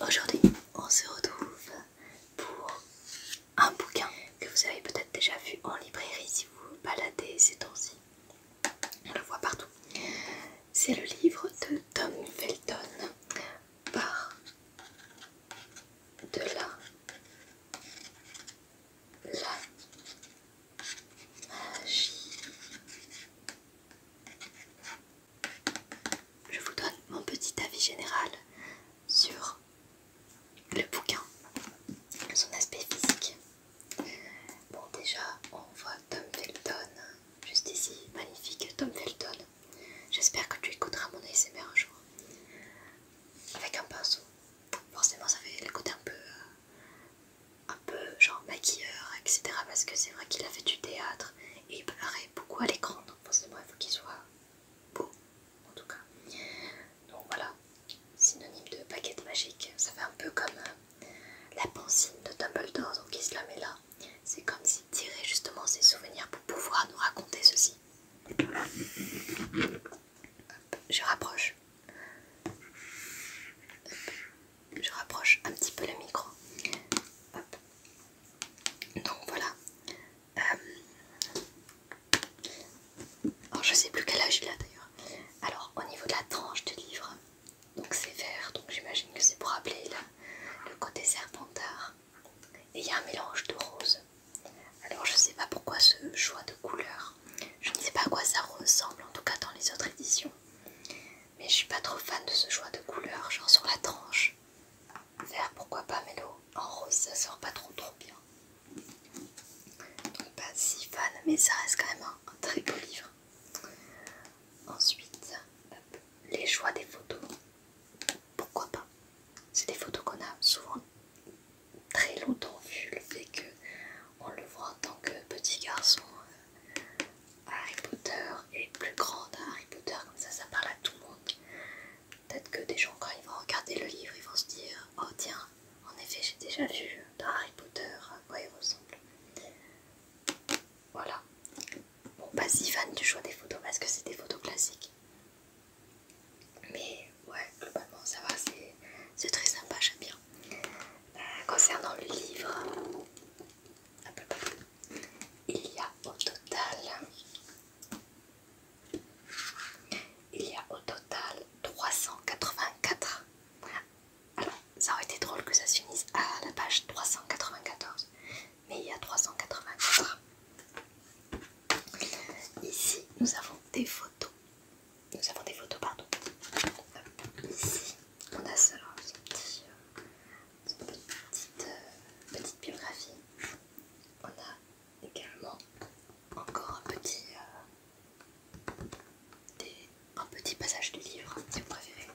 Aujourd'hui, on se retrouve pour un bouquin que vous avez peut-être déjà vu en librairie si vous vous baladez ces temps-ci. On le voit partout. C'est le livre de Tom Felton par de la la magie je vous donne mon petit avis général sur le bouquin, son aspect physique. Bon déjà on voit Tom Felton juste ici, magnifique Tom Felton. J'espère que tu écouteras mon ASMR un jour. Avec un pinceau. Forcément ça fait le côté un peu euh, un peu genre maquilleur, etc. Parce que c'est vrai qu'il a fait du théâtre et il paraît beaucoup à l'écran donc forcément il faut qu'il soit beau en tout cas donc voilà synonyme de baguette magique ça fait un peu comme euh, la pancine de Dumbledore donc il se la met là c'est comme s'il tirait justement ses souvenirs pour pouvoir nous raconter ceci je rapproche je rapproche un petit peu le micro Hop donc voilà euh, alors je sais plus quel âge il a d'ailleurs alors au niveau de la tranche du livre donc c'est vert donc j'imagine que c'est pour rappeler le, côté serpentard et il y a un mélange de rose alors je sais pas pourquoi ce choix de couleur je ne sais pas à quoi ça ressemble en tout cas dans les autres éditions mais je suis pas trop fan de ce choix de couleur genre sur la tranche Vert pourquoi pas mais en rose ça sort pas trop trop bien. pas si fan mais ça reste quand même un, très beau livre. Ensuite, les choix des photos. Pourquoi pas C'est des photos qu'on a souvent très longtemps vues, le fait qu'on le voit en tant que petit garçon euh, Harry Potter est plus grand d'un Harry Potter, comme ça ça parle à tout le monde. Peut-être que des gens quand ils vont regarder le livre, ils vont se dire Oh tiens, en effet j'ai déjà vu Harry Potter à quoi il ressemble. Voilà. Bon pas bah, si fan du choix des photos parce que c'est des photos classiques. Mais ouais, globalement ça va, c'est très sympa, j'aime bien. Euh, concernant le livre, peu il y a au total, il y a au total 384. Alors, ça aurait été drôle que ça se finisse à la page 394, mais il y a 384. Ici, nous avons des photos. Nous avons des photos, pardon. Ici, on a ce petit petite, euh, petite biographie. On a également encore un petit, euh, un petit passage du livre, si vous préférez,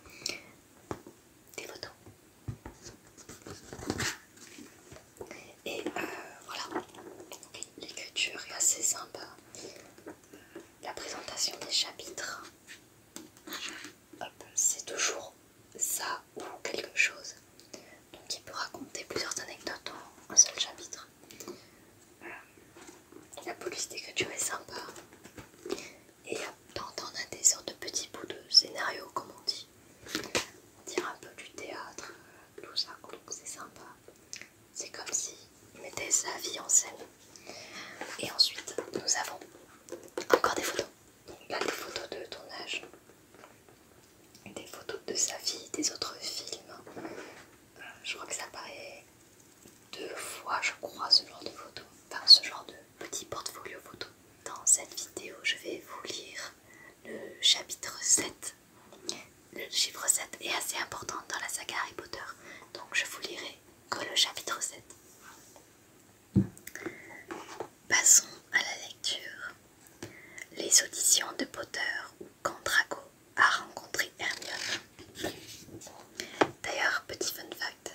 des photos. Et euh, voilà, l'écriture est assez sympa. La présentation des chapitres, c'est toujours ça ou quelque chose. Donc il peut raconter plusieurs anecdotes en un seul chapitre. Euh, la police d'écriture est sympa. Et on a des sortes de petits bouts de scénario comme on dit. On un peu du théâtre, euh, tout ça, c'est sympa. C'est comme si il mettait sa vie en scène. Et ensuite, nous avons encore des photos. Donc là, des photos de tournage, des photos de sa vie, des autres films. Euh, je crois que ça paraît deux fois, je crois, ce genre de photos, enfin ce genre de petit portfolio photo. Dans cette vidéo, je vais vous lire le chapitre 7. Le chiffre 7 est assez important dans la saga Harry Potter, donc je vous lirai que le chapitre 7. Passons à la lecture. Les auditions de Potter ou quand Drago a rencontré Hermione. D'ailleurs, petit fun fact,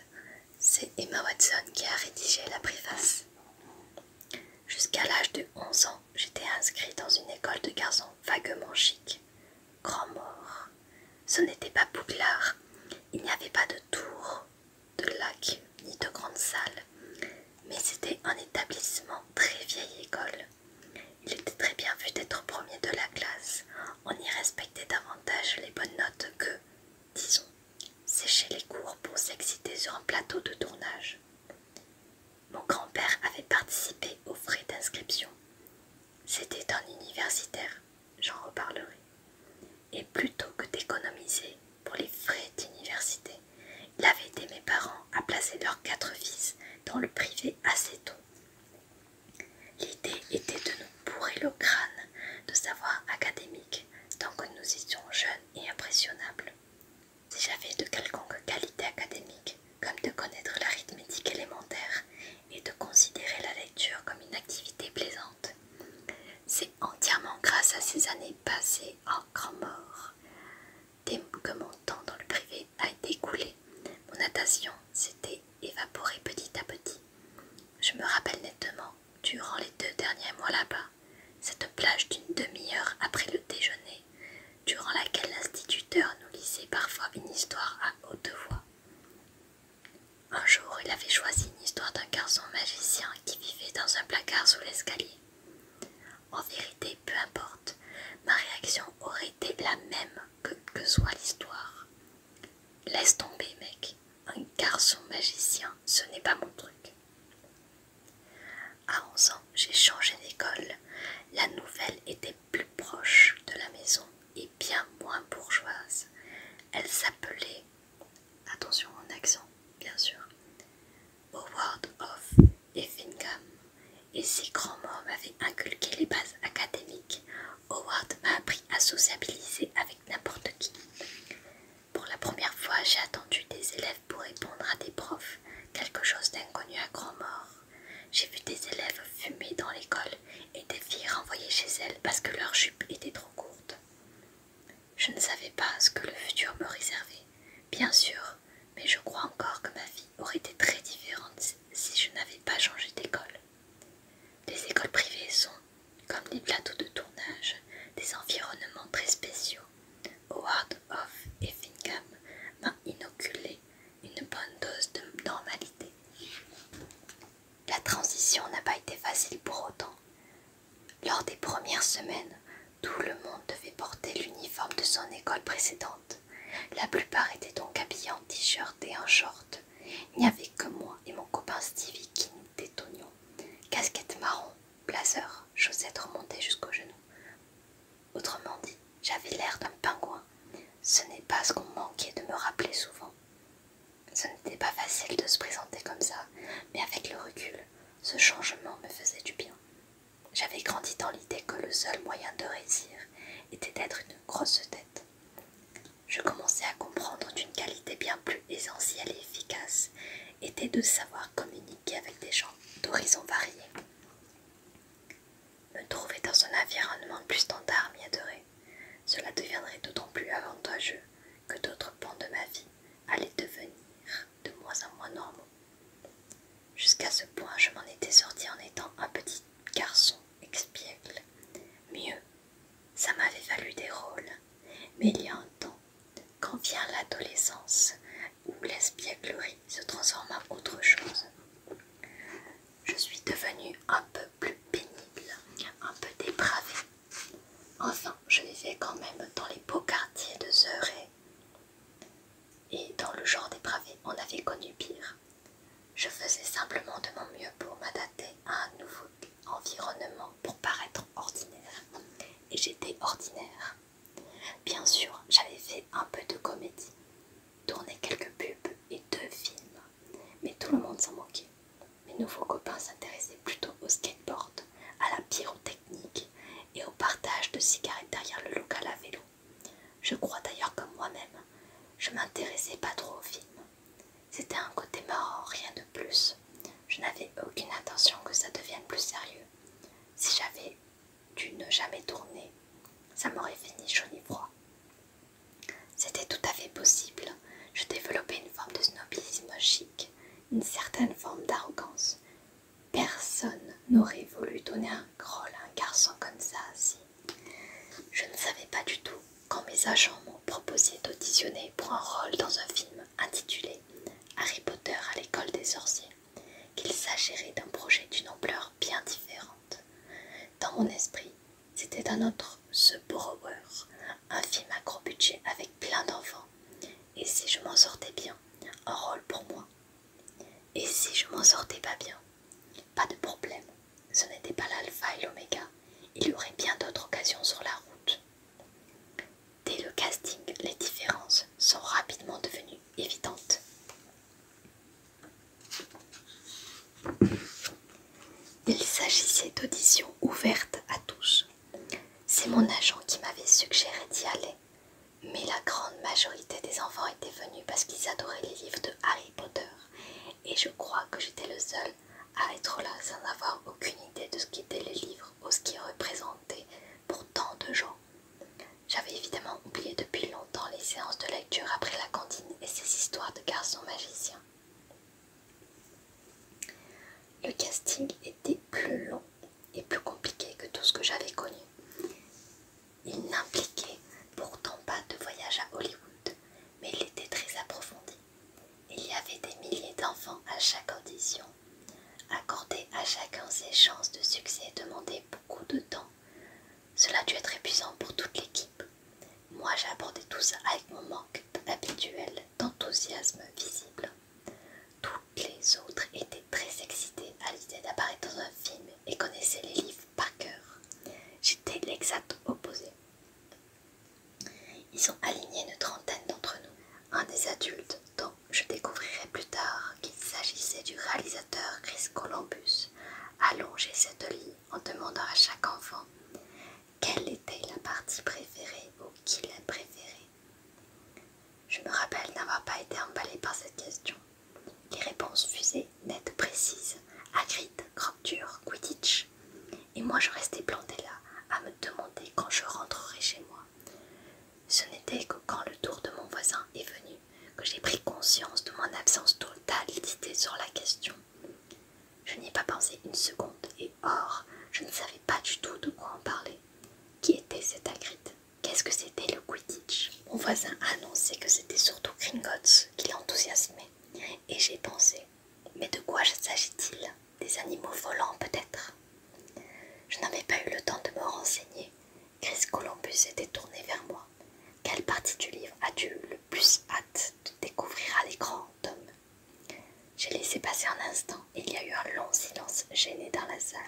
c'est Emma Watson qui a rédigé la préface. Jusqu'à l'âge de 11 ans, j'étais inscrite dans une école de garçons vaguement chic. Grand mort. Ce n'était pas Bouglard. Il n'y avait pas de tour de lac ni de grandes salles, mais c'était un établissement très vieille école. Il était très bien vu d'être premier de la classe, on y respectait davantage les bonnes notes que, disons, sécher les cours pour s'exciter sur un plateau de tournage. Mon grand-père avait participé aux frais d'inscription. C'était un universitaire j'en reparlerai. Et plutôt que d'économiser pour les frais d'université, il avait aidé mes parents à placer leurs quatre fils dans le privé assez tôt. L'idée était de nous bourrer le crâne de savoir académique tant que nous étions jeunes et impressionnables. Si j'avais de quelconque qualité académique, comme de connaître l'arithmétique élémentaire et de considérer la lecture comme une activité plaisante, c'est entièrement grâce à ces années passées en grand mort Dès que mon temps dans le privé a été écoulé. Mon attention s'était évaporée petit à petit. Je me rappelle nettement, durant les deux derniers mois là-bas, cette plage d'une demi-heure après le déjeuner, durant laquelle l'instituteur nous lisait parfois une histoire à haute voix. Un jour, il avait choisi une histoire d'un garçon magicien qui vivait dans un placard sous l'escalier. En vérité, peu importe, ma réaction aurait été la même que, que soit l'histoire. Laisse tomber, mec, un garçon magicien, ce n'est pas mon truc. À 11 ans, j'ai changé d'école. La nouvelle était plus proche de la maison et bien moins bourgeoise. Elle s'appelait Attention en accent, bien sûr. Howard of et Et si grand m'avait inculqué les bases académiques, Howard m'a appris à sociabiliser avec n'importe qui. Pour la première fois, j'ai attendu des élèves pour répondre à des profs, quelque chose d'inconnu à grand-mort. J'ai vu des élèves fumer dans l'école et des filles renvoyées chez elles parce que leur jupe était trop courte. Je ne savais pas ce que le futur me réservait, bien sûr, mais je crois encore que ma vie aurait été très différente si je n'avais pas changé d'école. Les écoles privées sont, comme les plateaux de tournage, des environnements très spéciaux. Howard of* et m'a inoculé une bonne dose de normalité. La transition n'a pas été facile pour autant. Lors des premières semaines, tout le monde devait porter l'uniforme de son école précédente. La plupart étaient donc habillés en t-shirt et en short. Il n'y avait que moi et mon copain Stevie qui nous détonions. Casquette marron, blazer, chaussettes remontées jusqu'aux genoux. Autrement dit, j'avais l'air d'un pingouin. Ce n'est pas ce qu'on manquait de me rappeler souvent. Ce n'était pas facile de se présenter comme ça, mais avec le recul, ce changement me faisait du bien. J'avais grandi dans l'idée que le seul moyen de réussir était d'être une grosse tête. Je commençais à comprendre qu'une qualité bien plus essentielle et efficace était de savoir communiquer avec des gens d'horizons variés. Me trouver dans un environnement plus standard m'y adorait. Cela deviendrait d'autant plus avantageux que d'autres pans de ma vie allaient devenir de moins en moins normaux. Jusqu'à ce point, je m'en étais sorti en étant un petit garçon expiègle. Mieux, ça m'avait valu des rôles, mais il y a un temps, quand vient l'adolescence, où l'espièglerie se transforme en autre chose. Je suis devenue un peu plus pénible, un peu dépravée, Enfin, je vivais quand même dans les beaux quartiers de Zuré. Et dans le genre dépravé, on avait connu pire. Je faisais simplement de mon mieux pour m'adapter à un nouveau environnement pour paraître ordinaire. Et j'étais ordinaire. Bien sûr, j'avais fait un peu de comédie, tourné quelques pubs et deux films, mais tout le monde s'en moquait. Mes nouveaux copains s'intéressaient plutôt au skateboard, à la pyrotechnique et au partage de cigarettes derrière le local à vélo. Je crois d'ailleurs comme moi-même, je m'intéressais pas trop aux films. C'était un côté marrant, rien de plus. Je n'avais aucune intention que ça devienne plus sérieux. Si j'avais dû ne jamais tourner, ça m'aurait fini chaud ni froid. C'était tout à fait possible je développais une forme de snobisme chic, une certaine forme d'arrogance. Personne n'aurait voulu donner un rôle à un garçon comme ça si. Je ne savais pas du tout quand mes agents m'ont proposé d'auditionner pour un rôle dans un film intitulé Harry Potter à l'école des sorciers qu'il s'agirait d'un projet d'une ampleur bien différente. Dans mon esprit, c'était un autre ce Borrower, un film à gros budget avec plein d'enfants. Et si je m'en sortais bien, un rôle pour moi. Et si je m'en sortais pas bien, pas de problème. Ce n'était pas l'alpha et l'oméga. Il y aurait bien d'autres occasions sur la route. Dès le casting, les différences sont rapidement devenues évidentes. Il s'agissait d'auditions ouvertes à tous. C'est mon agent qui m'avait suggéré d'y aller, mais la grande majorité des enfants étaient venus parce qu'ils adoraient les livres de Harry Potter, et je crois que j'étais le seul à être là sans avoir aucune idée de ce qu'étaient les livres ou ce qu'ils représentaient pour tant de gens. J'avais évidemment oublié depuis longtemps les séances de lecture après la cantine et ces histoires de garçons magiciens. Le casting était plus long et plus compliqué que tout ce que j'avais connu. Il n'impliquait pourtant pas de voyage à Hollywood, mais il était très approfondi. Il y avait des milliers d'enfants à chaque audition. Accorder à chacun ses chances de succès demandait beaucoup de temps. Cela dû être épuisant pour toute l'équipe. Moi j'abordais tout ça avec mon manque habituel d'enthousiasme visible. Toutes les autres étaient très excitées à l'idée d'apparaître dans un film et connaissaient les livres par cœur. J'étais l'exact opposé. Ils ont aligné une trentaine d'entre nous. Un des adultes, dont je découvrirai plus tard qu'il s'agissait du réalisateur Chris Columbus, allongeait cette ligne en demandant à chaque enfant quelle était la partie préférée ou qui l'a préférée Je me rappelle n'avoir pas été emballée par cette question. Les réponses fusées, nettes, précises, à crop dure quidditch. Et moi je restais plantée là, à me demander quand je rentrerais chez moi. Ce n'était que quand le tour de mon voisin est venu que j'ai pris conscience de mon absence totale d'idée sur la question. Je n'y ai pas pensé une seconde, et or, je ne savais pas du tout de quoi en parler. Qui était cet Hagrid Qu'est-ce que c'était le Quidditch Mon voisin annonçait que c'était surtout Gringotts qui l'enthousiasmait, et j'ai pensé mais de quoi s'agit-il Des animaux volants peut-être Je n'avais pas eu le temps de me renseigner. Chris Columbus était tourné vers moi. Quelle partie du livre as-tu le plus hâte de découvrir à l'écran, Tom j'ai laissé passer un instant et il y a eu un long silence gêné dans la salle.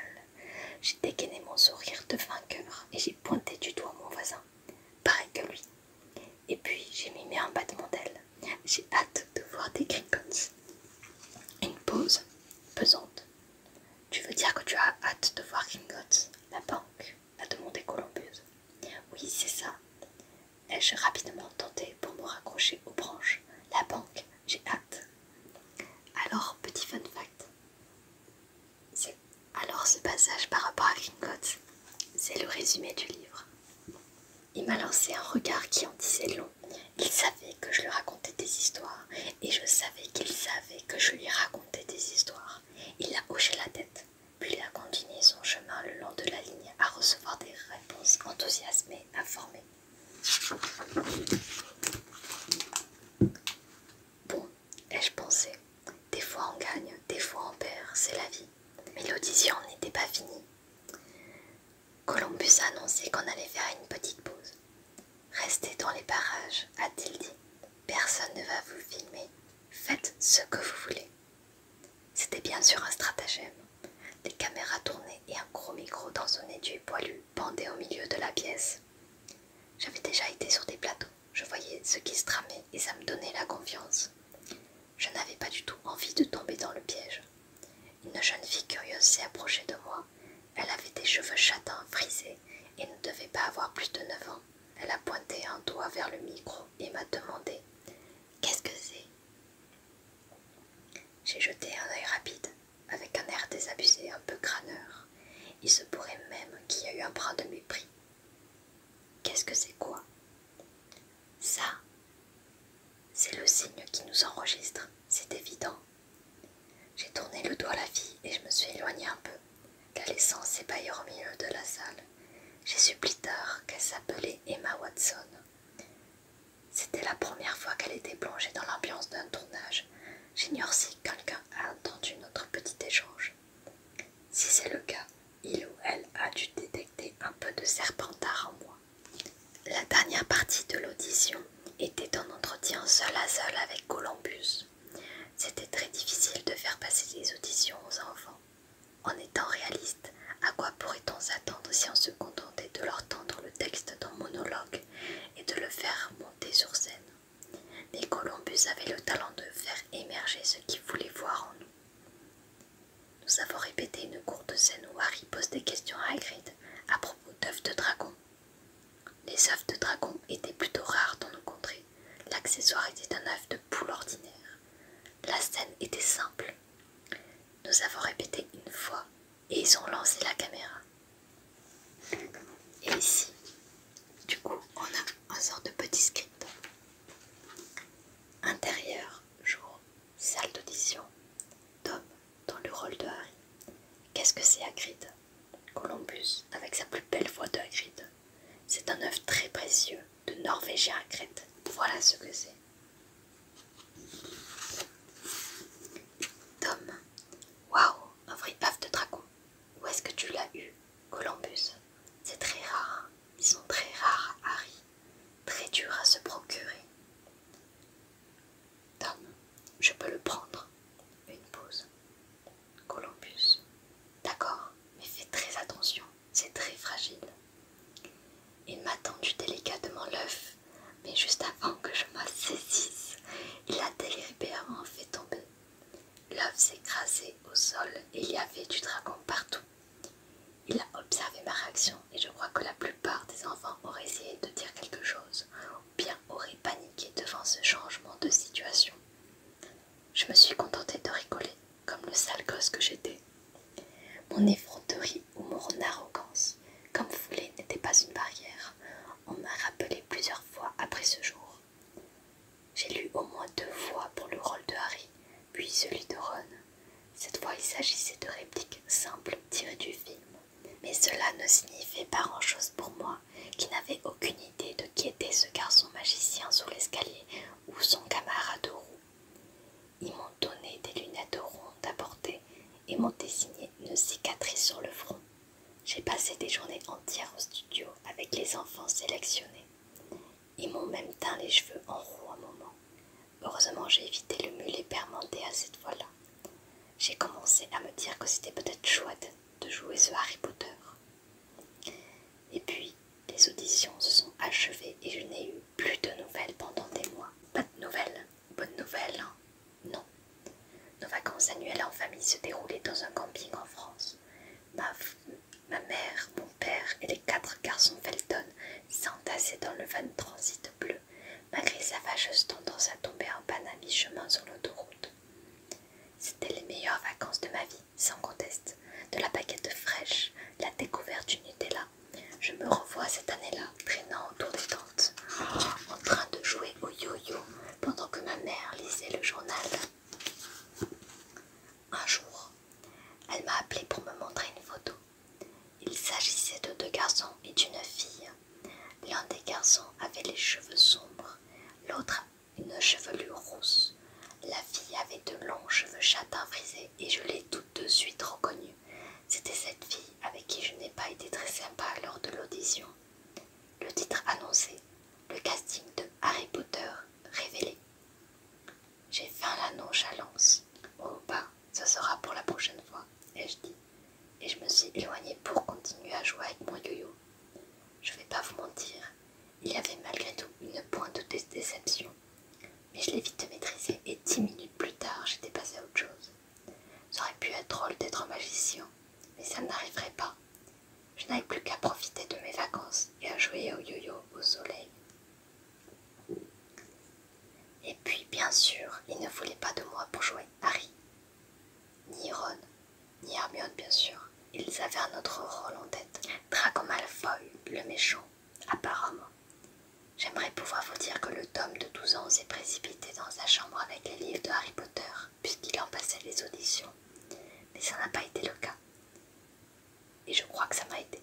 J'ai dégainé mon sourire de vainqueur et j'ai pointé du doigt mon voisin, pareil que lui. Et puis j'ai mimé un battement d'aile. J'ai hâte de voir des gringots. Une pause pesante. Tu veux dire que tu as hâte de voir Gringotts, la banque a demandé Columbus. Oui, c'est ça. Et je rapidement tenté pour me raccrocher aux branches. La banque, j'ai hâte. Alors, petit fun fact. Alors ce passage par rapport à Gringotts, c'est le résumé du livre. Il m'a lancé un regard qui en disait long. Il savait que je lui racontais des histoires et je savais qu'il savait que je lui racontais des histoires. Il a hoché la tête puis il a continué son chemin le long de la ligne à recevoir des réponses enthousiasmées, informées. Bon, ai-je pensé, des fois on gagne, des fois on perd, c'est la vie. Mais l'audition n'était pas finie. Columbus a annoncé qu'on allait faire une petite pause. Restez dans les parages, a-t-il dit. Personne ne va vous filmer. Faites ce que vous voulez. C'était bien sûr un stratagème. Des caméras tournées et un gros micro dans son étui poilu pendait au milieu de la pièce. J'avais déjà été sur des plateaux, je voyais ce qui se tramait et ça me donnait la confiance. Je n'avais pas du tout envie de tomber dans le piège. Une jeune fille curieuse s'est approchée de moi. Elle avait des cheveux châtains frisés et ne devait pas avoir plus de 9 ans. Elle a pointé un doigt vers le micro et m'a demandé Qu'est-ce que c'est j'ai jeté un œil rapide, avec un air désabusé, un peu crâneur. Il se pourrait même qu'il y ait eu un brin de mépris. Qu'est-ce que c'est quoi Ça C'est le signe qui nous enregistre, c'est évident. J'ai tourné le dos à la fille et je me suis éloignée un peu, la laissant s'ébahir au milieu de la salle. J'ai su plus tard qu'elle s'appelait Emma Watson. C'était la première fois qu'elle était plongée dans l'ambiance d'un tournage. J'ignore si quelqu'un a entendu notre petit échange. Si c'est le cas, il ou elle a dû détecter un peu de serpentard en moi. La dernière partie de l'audition était un entretien seul à seul avec Columbus. C'était très difficile de faire passer les auditions aux enfants en étant réaliste, à quoi pourrait-on s'attendre si on se contentait de leur tendre le texte d'un monologue et de le faire monter sur scène Mais Columbus avait le talent de faire émerger ce qu'il voulait voir en nous. Nous avons répété une courte scène où Harry pose des questions à Hagrid à propos d'œufs de dragon. Les œufs de dragon étaient plutôt rares dans nos contrées. L'accessoire était un œuf de poule ordinaire. La scène était simple, nous avons répété une fois et ils ont lancé la caméra. Et ici, du coup, on a un sort de petit script. Intérieur, jour, salle d'audition, Tom dans le rôle de Harry. Qu'est-ce que c'est Hagrid Columbus avec sa plus belle voix de Hagrid. C'est un œuf très précieux de Norvégien à Crète. Voilà ce que c'est. Tom, waouh, un vrai paf de dragon. Où est-ce que tu l'as eu, Columbus C'est très rare. Hein. Ils sont très rares, Harry. Très dur à se procurer. Tom, je peux le prendre. Une pause. Columbus. D'accord, mais fais très attention c'est très fragile. Il m'a tendu délicatement l'œuf, mais juste avant que je m'en saisisse, il a délibérément fait tomber. L'œuf s'est écrasé au sol et il y avait du dragon partout. Il a observé ma réaction et je crois que la plupart des enfants auraient essayé de dire quelque chose ou bien auraient paniqué devant ce changement de situation. Je me suis contentée de rigoler comme le sale gosse que j'étais. Mon effronterie ou mon arrogance, comme foulée, n'était pas une barrière. On m'a rappelé plusieurs fois après ce jour. J'ai lu au moins deux fois pour le rôle de Harry, puis celui de Ron. Cette fois, il s'agissait de répliques simples tirées du film. Mais cela ne signifiait pas grand-chose pour moi, qui n'avais aucune idée de qui était ce garçon magicien sous l'escalier ou son camarade roue. Ils m'ont donné des lunettes rondes à porter et m'ont dessiné une cicatrice sur le front. J'ai passé des journées entières au studio avec les enfants sélectionnés. Ils m'ont même teint les cheveux en roux un moment. Heureusement, j'ai évité le mulet permenté à cette fois-là. J'ai commencé à me dire que c'était peut-être chouette de jouer ce Harry Potter. Et puis, les auditions se sont achevées et je n'ai eu plus de nouvelles pendant des mois. Pas de nouvelles bonnes nouvelles, hein. Non. Nos vacances annuelles en famille se déroulaient dans un camping en France. Ma, mère, mon père et les quatre garçons Felton s'entassaient dans le van transit bleu, malgré sa fâcheuse tendance à tomber en panne à mi-chemin sur l'autoroute. C'était les meilleures vacances de ma vie, sans conteste. De la baguette fraîche, la découverte du Nutella, je me revois cette année-là traînant autour des tentes, en train de jouer au yo-yo pendant que ma mère lisait le journal. Un jour, elle m'a appelé pour me montrer une photo. Il s'agissait de deux garçons et d'une fille. L'un des garçons avait les cheveux sombres, l'autre une chevelure rousse. La fille avait de longs cheveux châtains frisés et je l'ai de suite reconnue. C'était cette fille avec qui je n'ai pas été très sympa lors de l'audition. Le titre annoncé, le casting de Harry Potter révélé. J'ai faim la nonchalance. oh Oh ce sera pour la prochaine fois, ai-je dit, et je me suis éloignée pour continuer à jouer avec mon yo-yo. Je vais pas vous mentir, il y avait malgré tout une pointe de déception mais je l'ai vite maîtrisé et dix minutes plus tard j'étais passé à autre chose. Ça aurait pu être drôle d'être magicien, mais ça n'arriverait pas. Je n'avais plus qu'à profiter de mes vacances et à jouer au yo-yo au soleil. Et puis, bien sûr, ils ne voulaient pas de moi pour jouer Harry, ni Ron, ni Hermione, bien sûr. Ils avaient un autre rôle en tête. Draco Malfoy, le méchant, Apparemment. J'aimerais pouvoir vous dire que le tome de 12 ans s'est précipité dans sa chambre avec les livres de Harry Potter, puisqu'il en passait les auditions. Mais ça n'a pas été le cas. Et je crois que ça m'a aidé.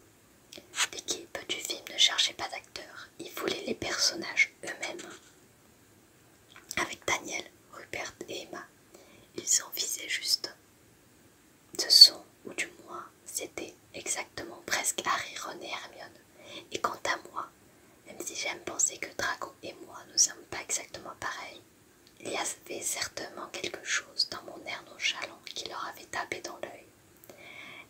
L'équipe du film ne cherchait pas d'acteurs, ils voulaient les personnages eux-mêmes. Avec Daniel, Rupert et Emma, ils en visaient juste. Ce sont, ou du moins, c'était exactement presque Harry, Ron et Hermione. Et quant à moi, même si j'aime penser que Draco et moi ne sommes pas exactement pareils, il y avait certainement quelque chose dans mon air nonchalant qui leur avait tapé dans l'œil.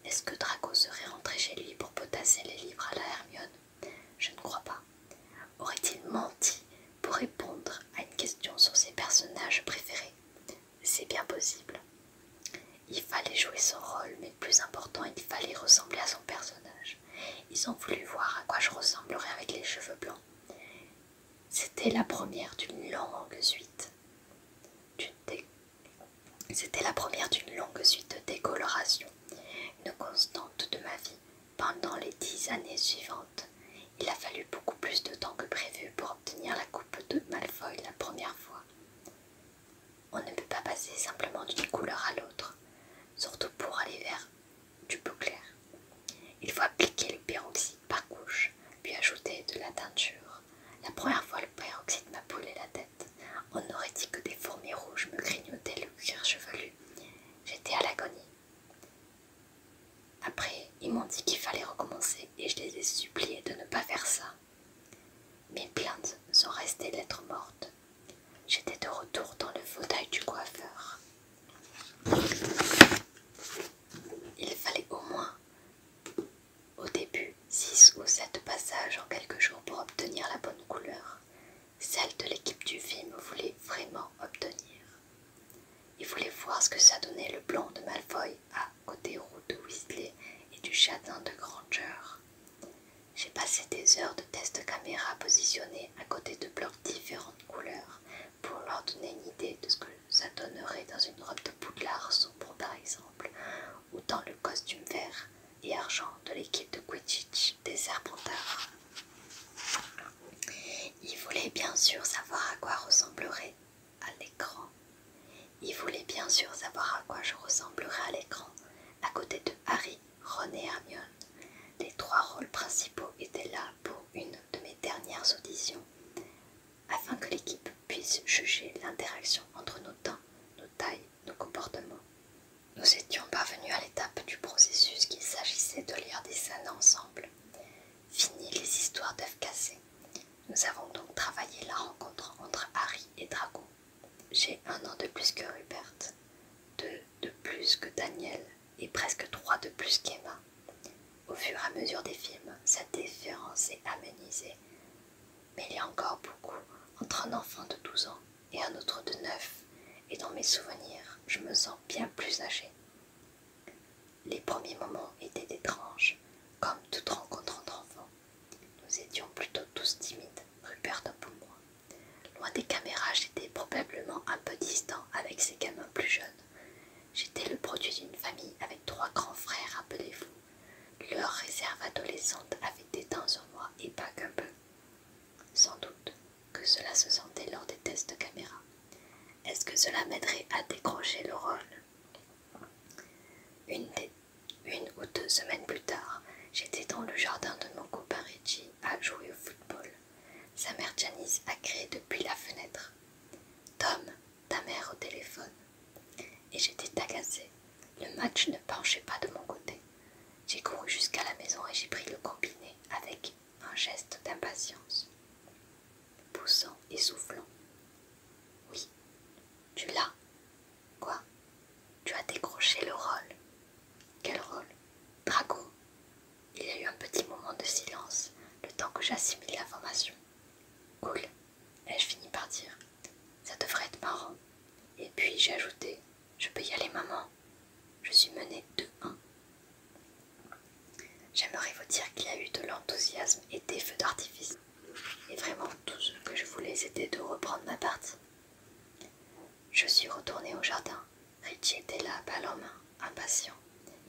Est-ce que Draco serait rentré chez lui pour potasser les livres à la Hermione Je ne crois pas. Aurait-il menti pour répondre à une question sur ses personnages préférés c'est bien possible. Il fallait jouer son rôle, mais plus important, il fallait ressembler à son personnage. Ils ont voulu voir à quoi je ressemblerais avec les cheveux blancs. C'était la première d'une longue suite. C'était la première d'une longue suite de décolorations, une constante de ma vie pendant les dix années suivantes. Il a fallu beaucoup plus de temps que prévu pour tenir la coupe de Malfoy la première fois. On ne peut pas passer simplement d'une couleur à l'autre, surtout pour aller vers du bleu clair. Il faut appliquer le peroxyde par couche, puis ajouter de la teinture. La première fois, le peroxyde m'a poulé la tête. On aurait dit que des fourmis rouges me grignotaient le cuir chevelu. J'étais à l'agonie. Après, ils m'ont dit qu'il fallait recommencer et je les ai suppliés de ne pas faire ça. Mes plaintes sont restées lettres mortes. J'étais de retour dans le fauteuil du coiffeur. Il fallait au moins, au début, 6 ou sept passages en quelques jours pour obtenir la bonne couleur, celle de l'équipe du film voulait vraiment obtenir. Il voulait voir ce que ça donnait le blanc de Malfoy à à côté de Whistler et du Jardin de Granger. J'ai passé des heures de test caméra positionnés à côté de blocs différentes couleurs pour leur donner une idée de ce que ça donnerait dans une robe de poudlard sombre par exemple ou dans le costume vert et argent de l'équipe de Quidditch des Serpentards. Ils voulaient bien sûr savoir à quoi ressemblerait à l'écran. Il voulait bien sûr savoir à quoi je ressemblerais à l'écran, à côté de Harry, Ron et Hermione. Les trois rôles principaux étaient là pour une de mes dernières auditions, afin que l'équipe puisse juger l'interaction entre nos temps, nos tailles, nos comportements. Nous étions parvenus à l'étape du processus qu'il s'agissait de lire des scènes ensemble. Fini les histoires d'œufs cassés. Nous avons donc travaillé la rencontre entre Harry et Drago. J'ai un an de plus que Rupert, deux de plus que Daniel et presque trois de plus qu'Emma. Au fur et à mesure des films, cette différence est amenisée. Mais il y a encore beaucoup entre un enfant de 12 ans et un autre de 9, et dans mes souvenirs, je me sens bien plus âgée. Les premiers moments étaient étranges, comme toute rencontre entre enfants. Nous étions plutôt tous timides, Rupert pour moi. Loin des caméras, j'étais probablement un peu distant avec ces gamins plus jeunes. J'étais le produit d'une famille avec trois grands frères, rappelez-vous. Leur réserve adolescente avait des temps sur moi et pas qu'un peu. Sans doute que cela se sentait lors des tests de caméra. Est-ce que cela m'aiderait à décrocher le rôle une, ou deux semaines plus tard, j'étais dans le jardin de mon copain Reggie à jouer au football. Sa mère Janice a crié depuis la fenêtre. Tom, ta mère au téléphone. Et j'étais agacée. Le match ne penchait pas de mon côté. J'ai couru jusqu'à la maison et j'ai pris le combiné avec un geste d'impatience poussant et soufflant. Oui, tu l'as. Quoi Tu as décroché le rôle. Quel rôle Drago. » Il y a eu un petit moment de silence, le temps que j'assimile l'information. Cool, ai-je fini par dire. Ça devrait être marrant. Et puis j'ai ajouté Je peux y aller, maman. Je suis menée 2-1. J'aimerais vous dire qu'il y a eu de l'enthousiasme et des feux d'artifice. Et vraiment, tout ce que je voulais, c'était de reprendre ma partie. Je suis retournée au jardin. Richie était là, balle en main, impatient.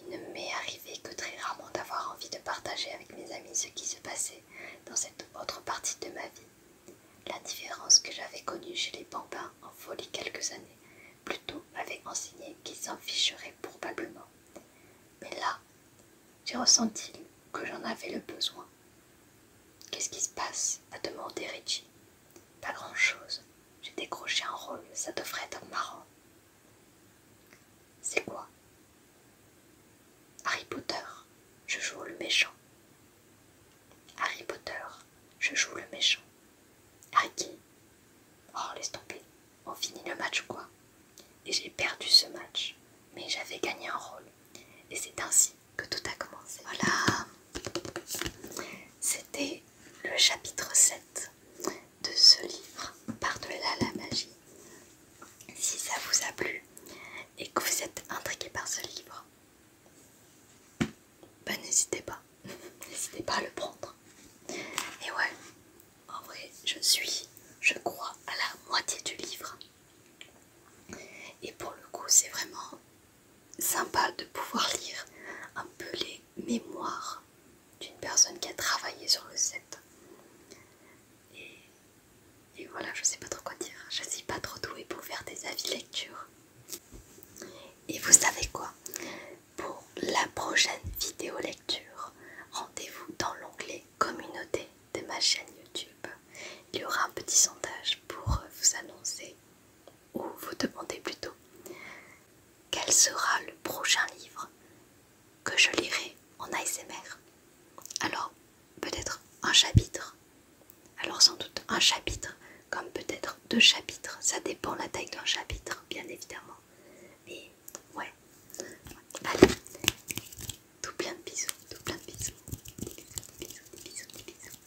Il ne m'est arrivé que très rarement d'avoir envie de partager avec mes amis ce qui se passait dans cette autre partie de ma vie. L'indifférence que j'avais connue chez les bambins en folie quelques années plutôt m'avait enseigné qu'ils s'en ficheraient probablement. Mais là, j'ai ressenti que j'en avais le besoin. Qu'est-ce qui se passe a demandé Richie. Pas grand-chose. J'ai décroché un rôle, ça devrait être marrant. C'est quoi Harry Potter, je joue le méchant. Harry Potter, je joue le méchant. Harry qui Oh, laisse on finit le match quoi. Et j'ai perdu ce match, mais j'avais gagné un rôle. Et c'est ainsi que tout a commencé. Voilà, c'était le chapitre 7 de ce livre, Par-delà la magie. Si ça vous a plu et que vous êtes intrigué par ce livre, bah, n'hésitez pas, n'hésitez pas à le prendre. Et ouais, en vrai, je suis, je crois, à la moitié du livre. Et pour le coup, c'est vraiment sympa de pouvoir lire un peu les mémoires d'une personne qui a travaillé sur le set. Et, voilà, je sais pas trop quoi dire. Je suis pas trop douée pour faire des avis lecture. Et vous savez quoi Pour la prochaine vidéo lecture, rendez-vous dans l'onglet communauté de ma chaîne YouTube, il y aura un petit sondage pour euh, vous annoncer, ou vous demander plutôt, quel sera le prochain livre que je lirai en ASMR. Alors, peut-être un chapitre. Alors sans doute un chapitre, comme peut-être deux chapitres. Ça dépend la taille d'un chapitre, bien évidemment et ouais. Allez, tout plein de bisous, tout plein de bisous. bisous, des bisous, des bisous.